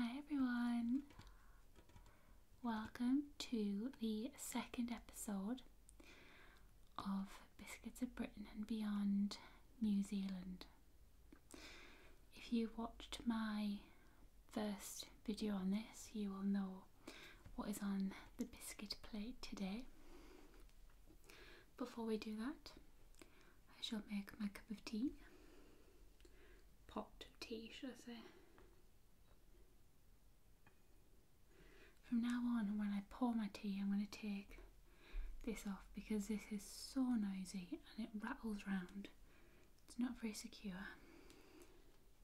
Hi everyone! Welcome to the second episode of Biscuits of Britain and Beyond New Zealand. If you watched my first video on this, you will know what is on the biscuit plate today. Before we do that, I shall make my cup of tea. Pot of tea, shall I say. From now on, when I pour my tea, I'm going to take this off because this is so noisy and it rattles round. It's not very secure.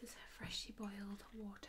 This is her freshly boiled water.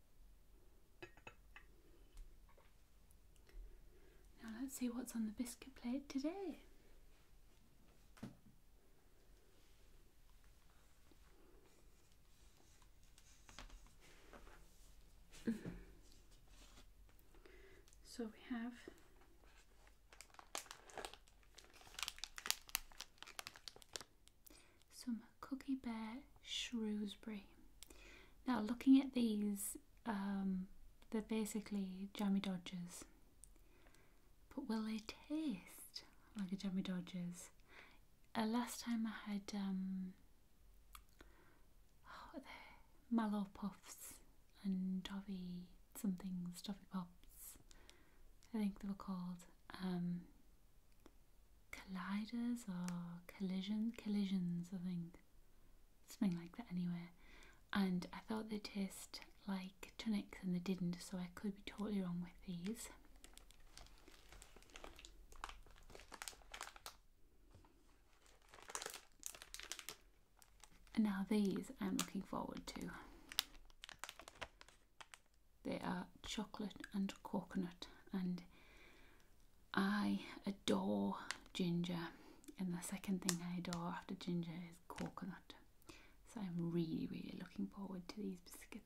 Now let's see what's on the biscuit plate today. so we have some cookie bear Shrewsbury. Now, looking at these, um, they're basically jammy dodgers. But will they taste like a jammy dodgers? Uh, last time I had um, oh, mallow puffs and toffee something, toffee pops. I think they were called um, colliders or collision collisions. I think something like that anyway. And I thought they taste like tonics and they didn't, so I could be totally wrong with these. And now these I'm looking forward to. They are chocolate and coconut and I adore ginger, and the second thing I adore after ginger is coconut. So I'm really, really looking forward to these biscuits.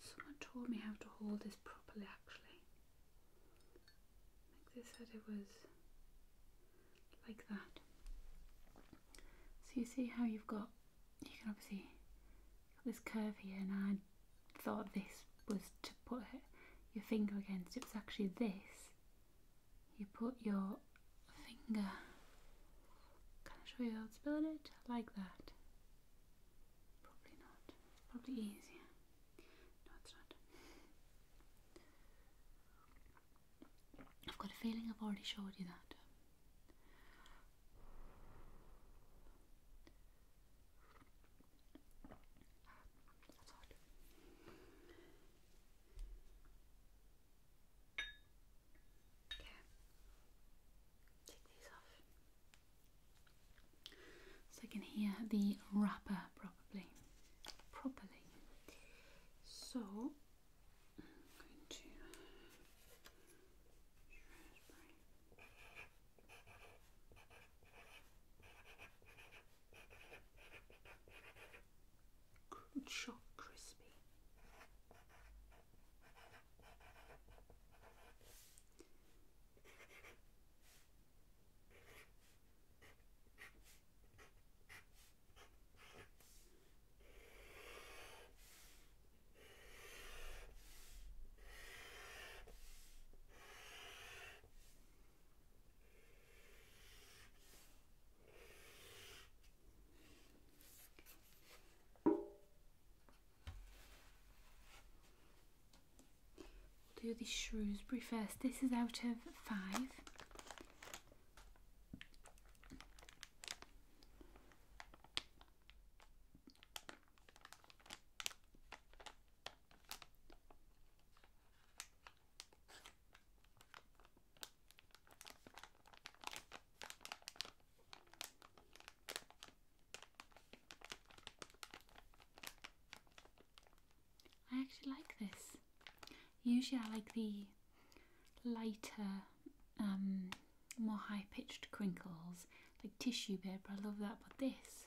Someone taught me how to hold this properly actually. Like they it was like that. So you see how you've got you can obviously got this curve here now thought this was to put your finger against, it was actually this. You put your finger, can I show you how it's built it? Like that. Probably not, probably easier. No, it's I've got a feeling I've already showed you that. So I can hear the wrapper probably properly. So I'm going to Good shot, Crispy do the Shrewsbury first. This is out of five. I actually like this. Usually, I like the lighter, um, more high pitched crinkles, like tissue paper. I love that, but this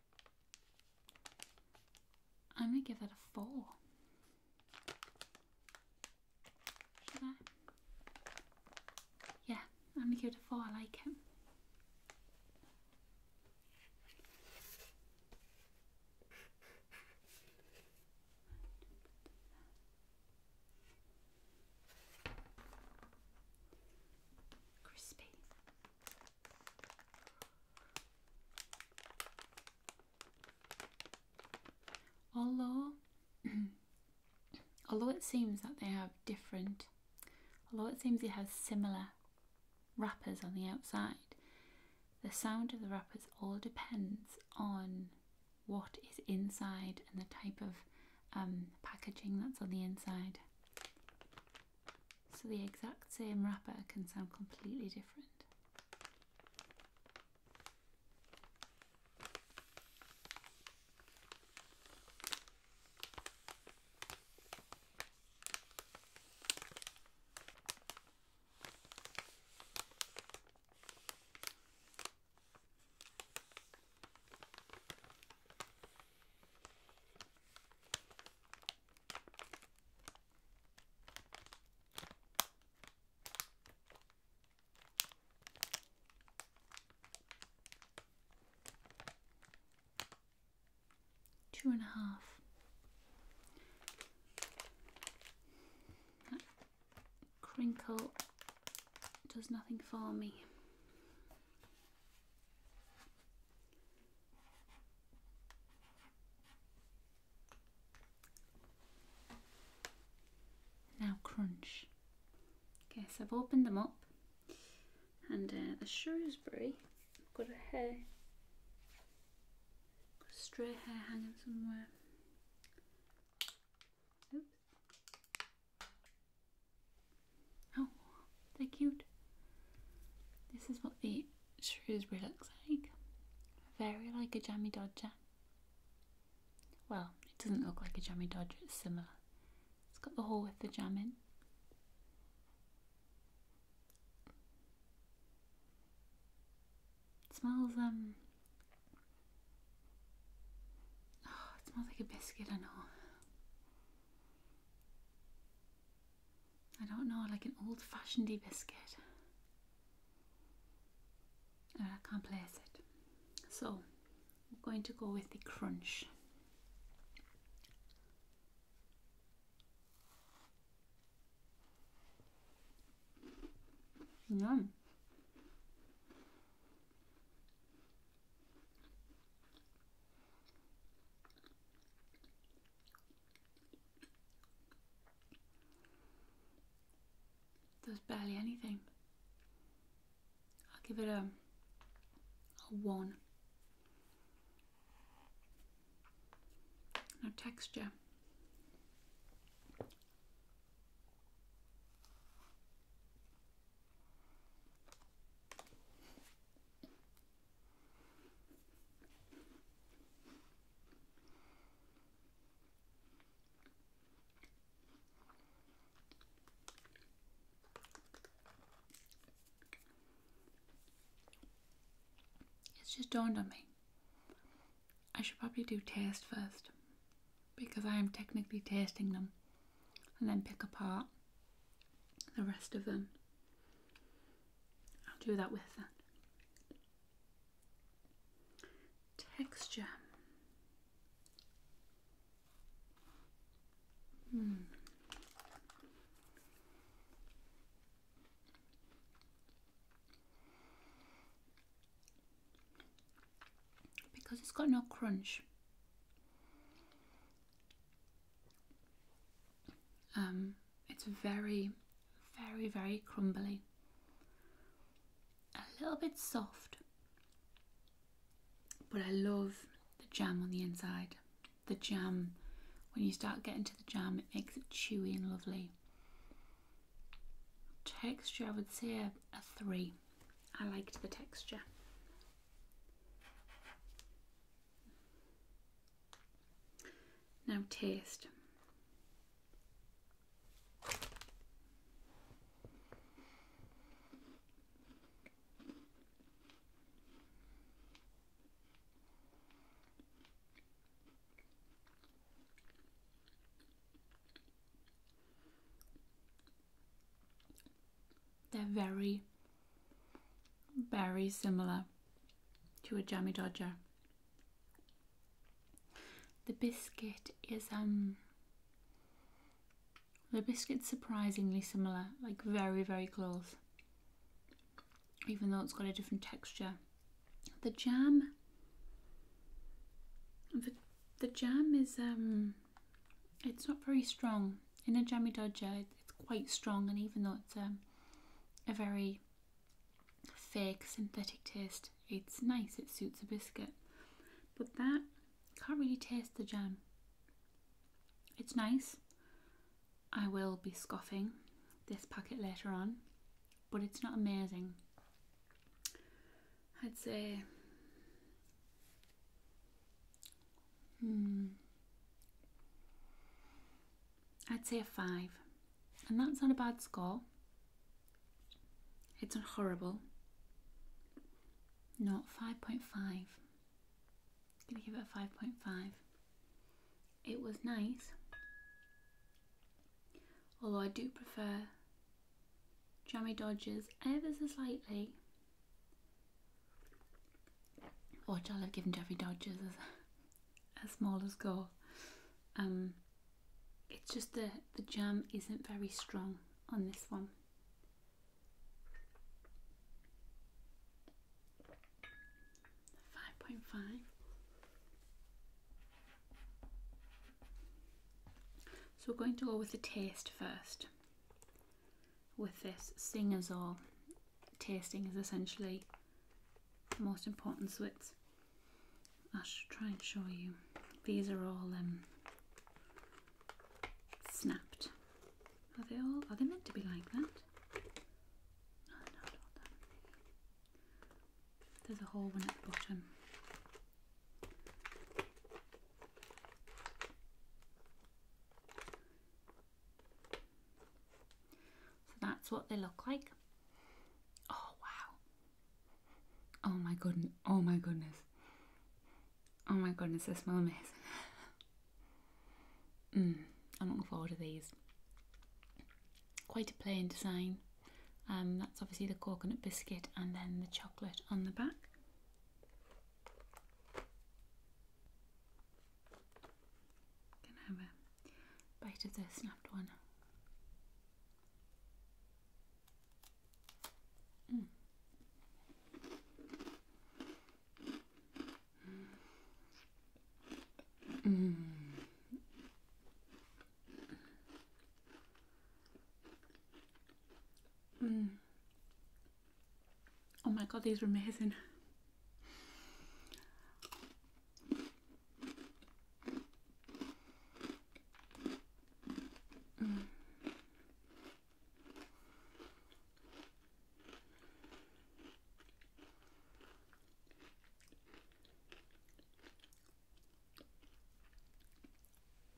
I'm gonna give that a four. Should I? Yeah, I'm gonna give it a four. I like it. Crispy. Although, although it seems that they have different, although it seems it have similar wrappers on the outside, the sound of the wrappers all depends on what is inside and the type of um, packaging that's on the inside so the exact same wrapper can sound completely different. Two and a half. crinkle does nothing for me. Now crunch. Okay, so I've opened them up and uh, the Shrewsbury, got a hair, a stray hair hanging somewhere. Oops. Oh, they're cute. This is what the Shrewsbury looks like. Very like a jammy dodger. Well, it doesn't look like a jammy dodger, it's similar. It's got the hole with the jam in. It smells um oh, it smells like a biscuit I know. I don't know, like an old fashioned biscuit. Uh, I can't place it. So I'm going to go with the crunch. Yum. There's barely anything. I'll give it a, a one. No texture. It's just dawned on me. I should probably do taste first because I am technically tasting them and then pick apart the rest of them. I'll do that with Texture. Hmm. Because it's got no crunch. Um, it's very, very, very crumbly, a little bit soft, but I love the jam on the inside. The jam, when you start getting to the jam, it makes it chewy and lovely. Texture, I would say a, a three. I liked the texture. Now taste. They're very, very similar to a jammy dodger. The biscuit is um the biscuit's surprisingly similar, like very, very close. Even though it's got a different texture. The jam the the jam is um it's not very strong. In a jammy dodger, it's quite strong, and even though it's um, a very fake synthetic taste, it's nice. It suits a biscuit, but that can't really taste the jam. It's nice. I will be scoffing this packet later on, but it's not amazing. I'd say Hmm. I'd say a five, and that's not a bad score. It's not horrible. Not 5.5. I'm gonna give it a 5.5. It was nice, although I do prefer Jamie Dodgers ever so slightly. Which I'll have given Jeffrey Dodgers as a smaller score. Um, it's just the, the jam isn't very strong on this one. Five point five. So we're going to go with the taste first with this singers or tasting is essentially the most important sweets. I should try and show you. These are all um, snapped. Are they all? Are they meant to be like that? There's a whole one at the bottom. So that's what they look like. Oh wow. Oh my goodness. Oh my goodness. Oh my goodness, they smell amazing. mm, I'm looking forward to these. Quite a plain design. Um, that's obviously the coconut biscuit and then the chocolate on the back. Gonna have a bite of the snapped one. Mm. Mm. Mm. Oh my god, these are amazing.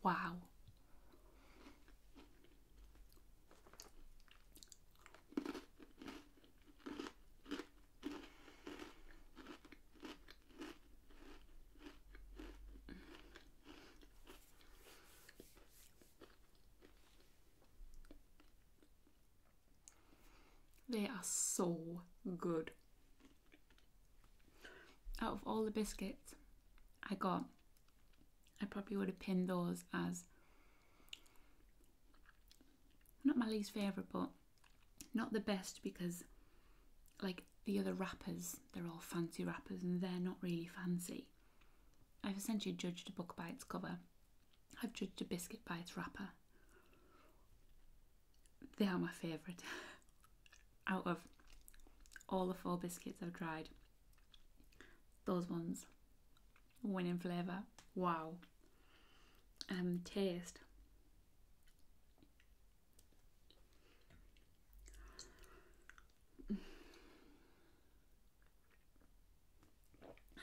Wow. They are so good. Out of all the biscuits, I got, I probably would have pinned those as not my least favourite, but not the best because, like the other wrappers, they're all fancy wrappers and they're not really fancy. I've essentially judged a book by its cover. I've judged a biscuit by its wrapper. They are my favourite out of all the four biscuits I've tried. Those ones. Winning flavour. Wow. And um, taste.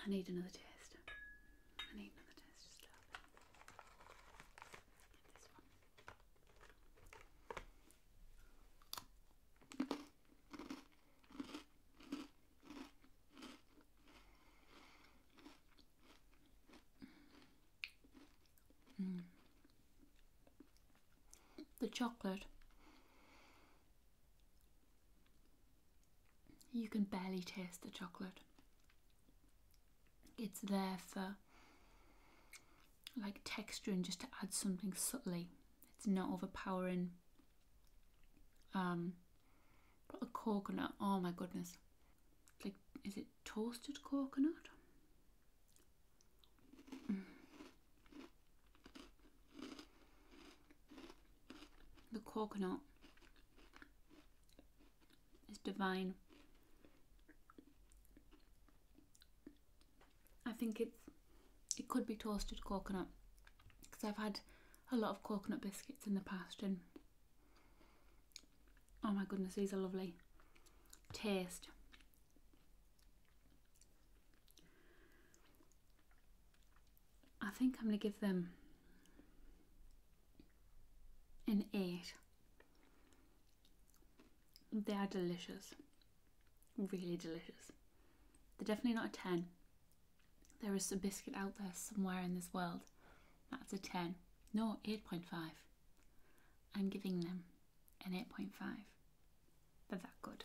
I need another taste. I need another taste Hmm. The chocolate, you can barely taste the chocolate. It's there for like texturing just to add something subtly. It's not overpowering. Um, but the coconut, oh my goodness. like, is it toasted coconut? Mm. The coconut is divine. I think it's it could be toasted coconut because I've had a lot of coconut biscuits in the past and oh my goodness these are lovely taste I think I'm going to give them an 8 they are delicious Really delicious. They're definitely not a 10. There is a biscuit out there somewhere in this world. That's a 10. No, 8.5. I'm giving them an 8.5. They're that good.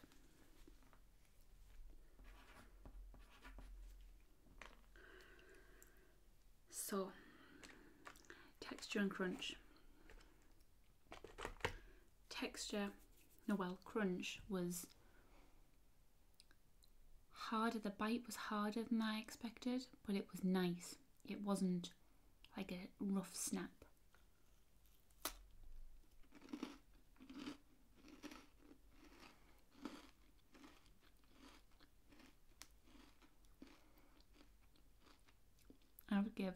So, texture and crunch texture, no well, crunch was harder. The bite was harder than I expected, but it was nice. It wasn't like a rough snap. I would give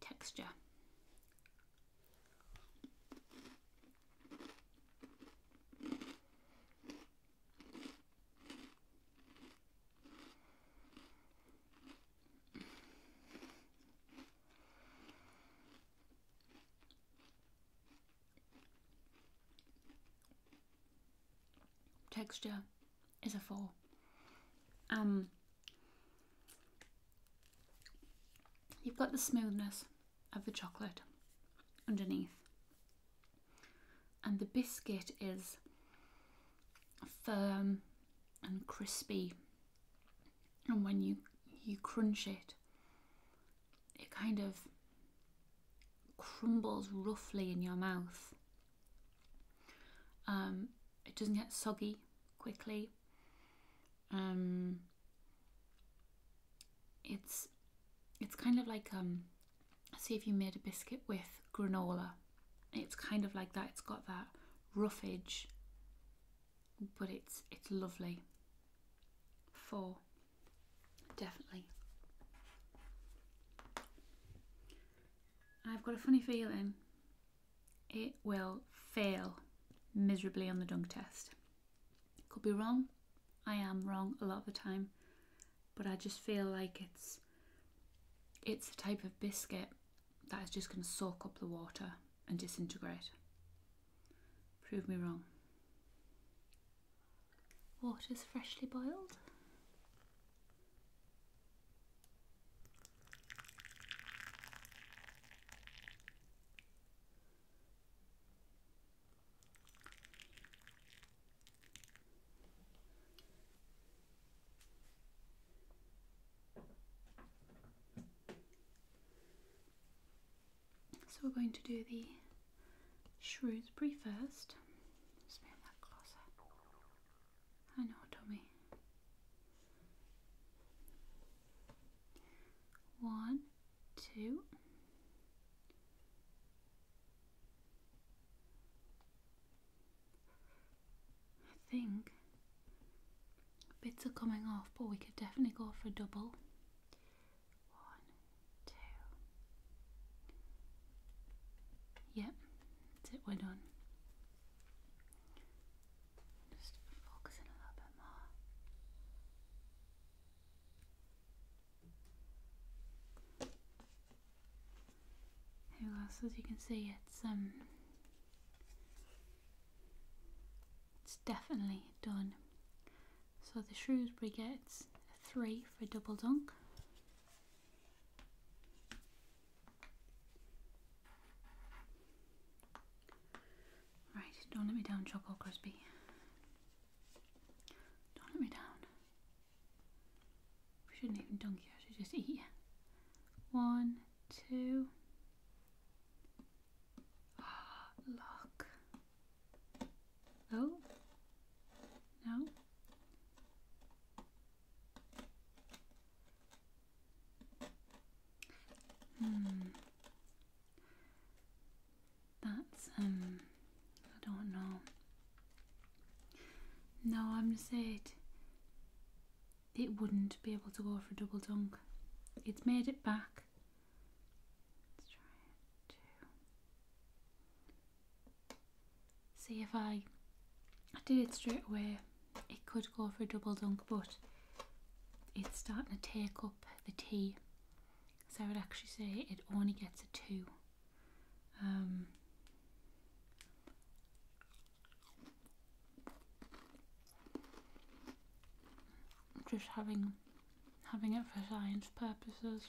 Texture. Texture is a four. Um, you've got the smoothness of the chocolate underneath, and the biscuit is firm and crispy, and when you you crunch it, it kind of crumbles roughly in your mouth um, it doesn't get soggy quickly. Um, it's it's kind of like um, see if you made a biscuit with granola. It's kind of like that. It's got that rough edge, but it's it's lovely. Four, definitely. I've got a funny feeling it will fail miserably on the dunk test. Could be wrong. I am wrong a lot of the time, but I just feel like it's it's the type of biscuit that is just going to soak up the water and disintegrate. Prove me wrong. Water's freshly boiled. So we're going to do the Shrewsbury first. I know, Tommy. One, two. I think bits are coming off, but we could definitely go for a double. One, two. Yep, that's it, we're done. Just focus a little bit more. Here we as you can see it's um it's definitely done. So the Shrewsbury gets a three for double dunk. Right, don't let me down, Choco Crispy. Don't let me down. We shouldn't even dunk you, I should just eat you. One, two. Oh, look. Oh. No. Hmm. That's um I don't know. No, I'm afraid it wouldn't be able to go for a double dunk. It's made it back. Let's try it two. See if I, I did it straight away. It could go for a double dunk, but it's starting to take up the tea. So I would actually say it only gets a two. Um, just having having it for science purposes.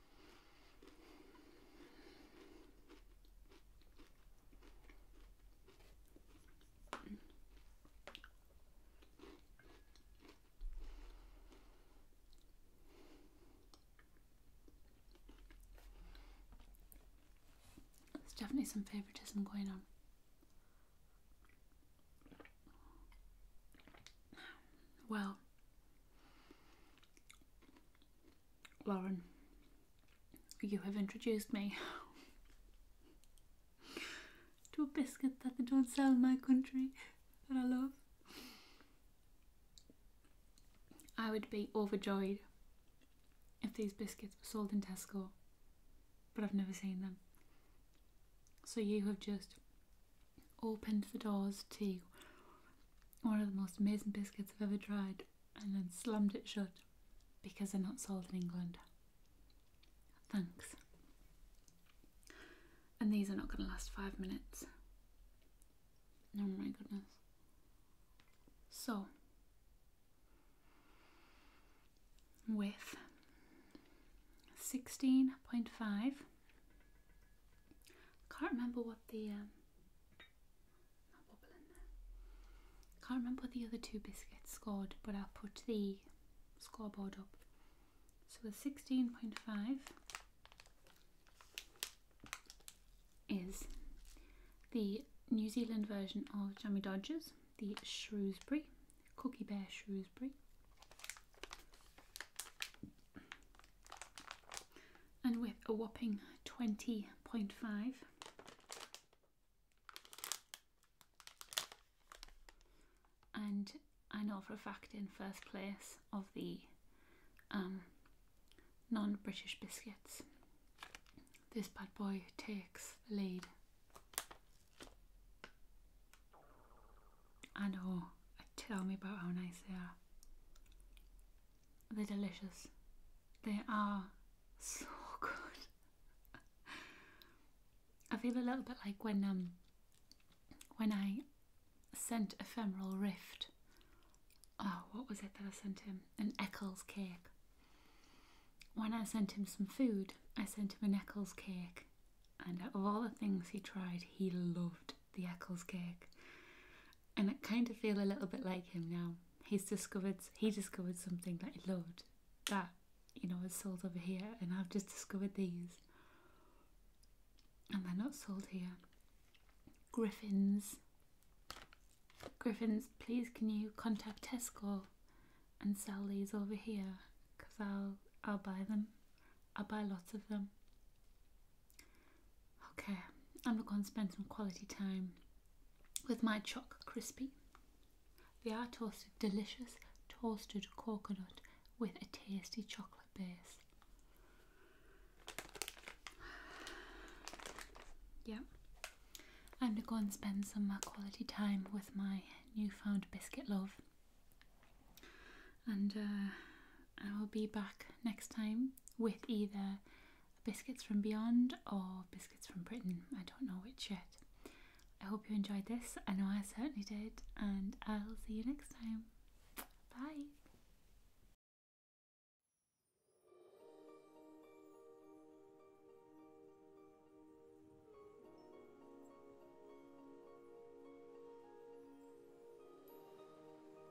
There's definitely some favouritism going on. Well, Lauren, you have introduced me to a biscuit that they don't sell in my country that I love. I would be overjoyed if these biscuits were sold in Tesco, but I've never seen them. So you have just opened the doors to one of the most amazing biscuits I've ever tried, and then slammed it shut because they're not sold in England. Thanks. And these are not going to last five minutes. Oh my goodness. So, with 16.5, I can't remember what the um, that Can't remember what the other two biscuits scored, but I'll put the scoreboard up. So the 16.5 is the New Zealand version of Jammy Dodgers, the Shrewsbury, Cookie Bear Shrewsbury and with a whopping 20.5 and I know for a fact in first place of the um, non-British biscuits this bad boy takes the lead And oh, tell me about how nice they are they're delicious. They are so good. I feel a little bit like when um, when I sent Ephemeral Rift. Oh, what was it that I sent him? An Eccles cake. When I sent him some food, I sent him an Eccles cake, and out of all the things he tried, he loved the Eccles cake. And I kind of feel a little bit like him now. He's discovered he discovered something that he loved that, you know, is sold over here and I've just discovered these. And they're not sold here. Griffins. Griffins, please can you contact Tesco and sell these over here? Because I'll I'll buy them. I'll buy lots of them. Okay, I'm going to spend some quality time with my Choc Crispy. They are toasted, delicious toasted coconut with a tasty chocolate base. Yep, I'm going to go and spend some quality time with my newfound biscuit love and uh, I'll be back next time with either biscuits from beyond or biscuits from Britain. I don't know which yet. I hope you enjoyed this. I know I certainly did, and I'll see you next time. Bye.